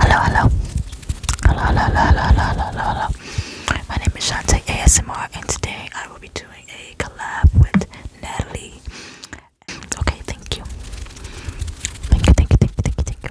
Hello, hello. Hello, hello, hello, hello, hello, My name is Shantae ASMR, and today I will be doing a collab with Natalie. Okay, Thank you, thank you, thank you, thank you, thank you.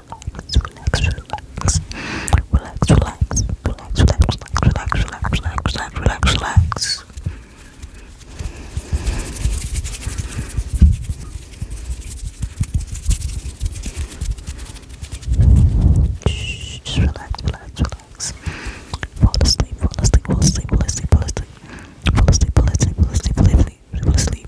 relax, relax, relax, relax, relax, relax, relax, relax, relax, relax, relax, relax. Just relax, relax, relax. Fall asleep, fall asleep, fall asleep, fall asleep, fall asleep, fall asleep, fall asleep, fall asleep, fall asleep, fall asleep, fall asleep.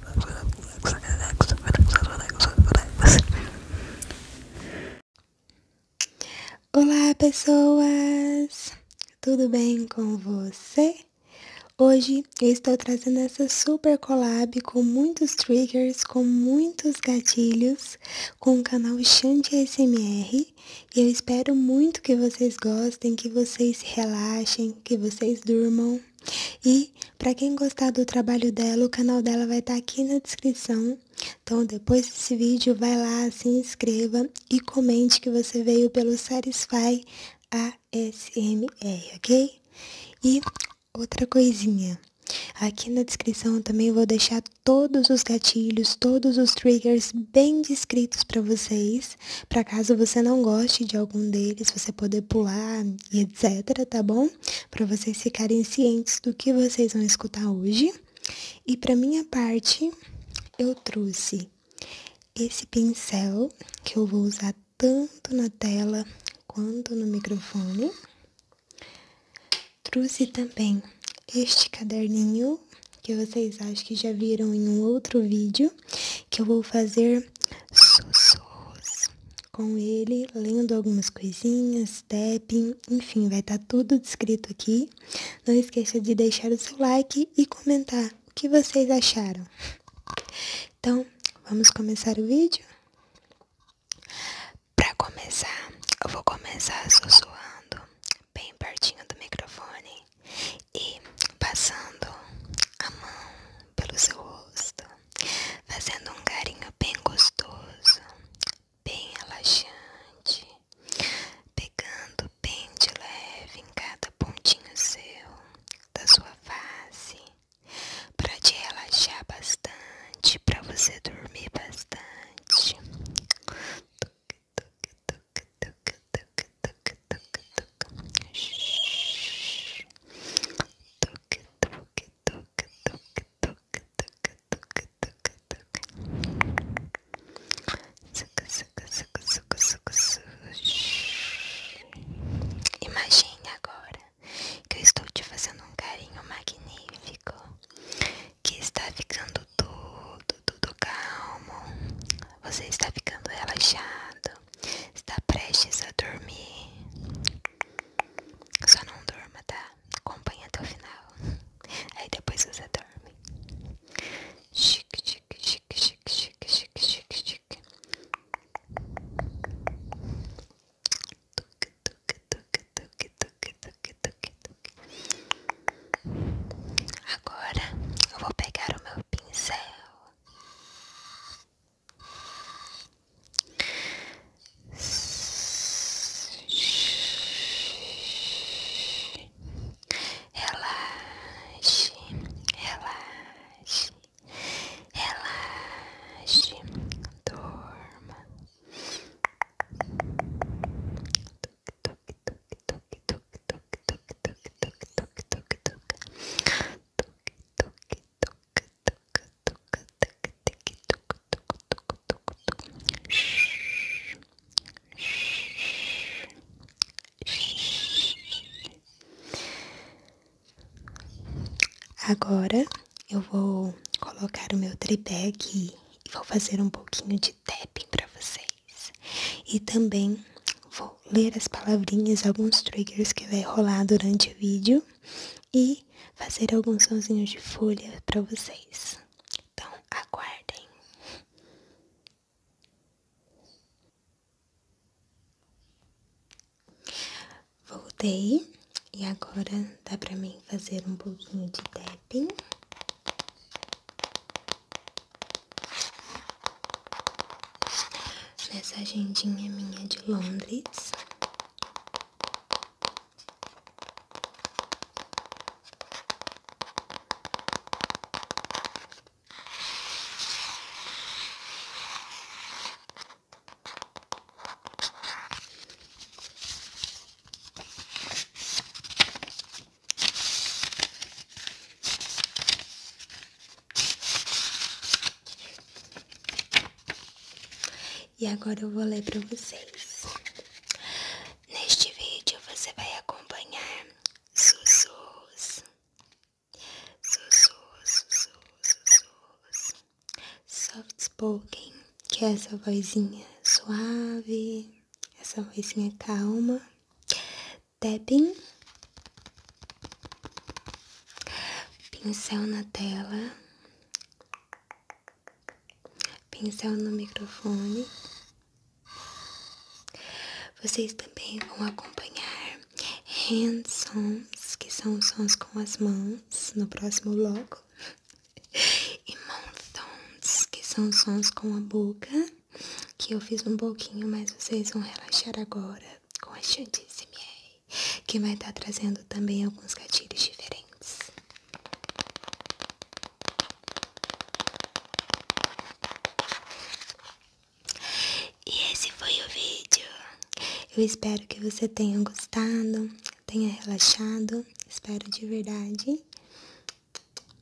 Olá, pessoas! Tudo bem com você? Hoje eu estou trazendo essa super collab com muitos triggers, com muitos gatilhos, com o canal Xante ASMR. E eu espero muito que vocês gostem, que vocês relaxem, que vocês durmam e para quem gostar do trabalho dela, o canal dela vai estar tá aqui na descrição. Então depois desse vídeo, vai lá, se inscreva e comente que você veio pelo Satisfy ASMR, ok? E outra coisinha. Aqui na descrição também vou deixar todos os gatilhos, todos os triggers bem descritos para vocês, para caso você não goste de algum deles, você poder pular e etc, tá bom? para vocês ficarem cientes do que vocês vão escutar hoje. E para minha parte, eu trouxe esse pincel que eu vou usar tanto na tela quanto no microfone. Trouxe também este caderninho que vocês acho que já viram em um outro vídeo, que eu vou fazer sussurros com ele, lendo algumas coisinhas, tapping, enfim, vai estar tá tudo descrito aqui. Não esqueça de deixar o seu like e comentar o que vocês acharam. Então, vamos começar o vídeo? Para começar, eu vou começar sussurrando bem pertinho do microfone e passando a mão pelo seu rosto fazendo um carinho bem gostoso, bem relaxante, pegando bem de leve em cada pontinho seu da sua face, para te relaxar bastante, para você dormir bastante. Imagine agora que eu estou te fazendo um carinho magnífico, que está ficando tudo, tudo calmo. Você está ficando relaxado, está prestes a dormir. Só não durma, tá? Acompanha até o final. Aí depois você dorme. Chique, chique, chique, chique, chique, chique, chique, chique. Tuque, tuque, tuque, tuque, tuque, tuque, tuque, tuque. Agora eu vou pegar o meu pincel. Relaxe, relaxe, relaxe, dorma. Toque, toque, toque, toque, toque, toque, toque, toque, toque, toque, toque, toque, toque, toque, toque, Agora eu vou colocar o meu tripé aqui e vou fazer um pouquinho de tapping para vocês. E também vou ler as palavrinhas, alguns triggers que vai rolar durante o vídeo e fazer alguns sonsinhos de folha para vocês. Então, aguardem. Voltei e agora dá para mim fazer um pouquinho de tapping nessa agendinha minha de Londres. E agora eu vou ler para vocês. Neste vídeo você vai acompanhar sussurros. Sussurros, sussurros, sussurros. Soft spoken, que é essa vozinha suave, essa vozinha calma. Tapping pincel na tela, pincel no microfone. Vocês também vão acompanhar hand sons, que são sons com as mãos, no próximo logo, e mouth sounds, que são sons com a boca, que eu fiz um pouquinho, mas vocês vão relaxar agora com a Chantissimie que vai estar tá trazendo também alguns gatilhos diferentes. E esse foi o vídeo. Eu espero que você tenha gostado, tenha relaxado. Espero de verdade.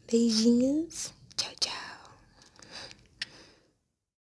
Beijinhos. Tchau, tchau.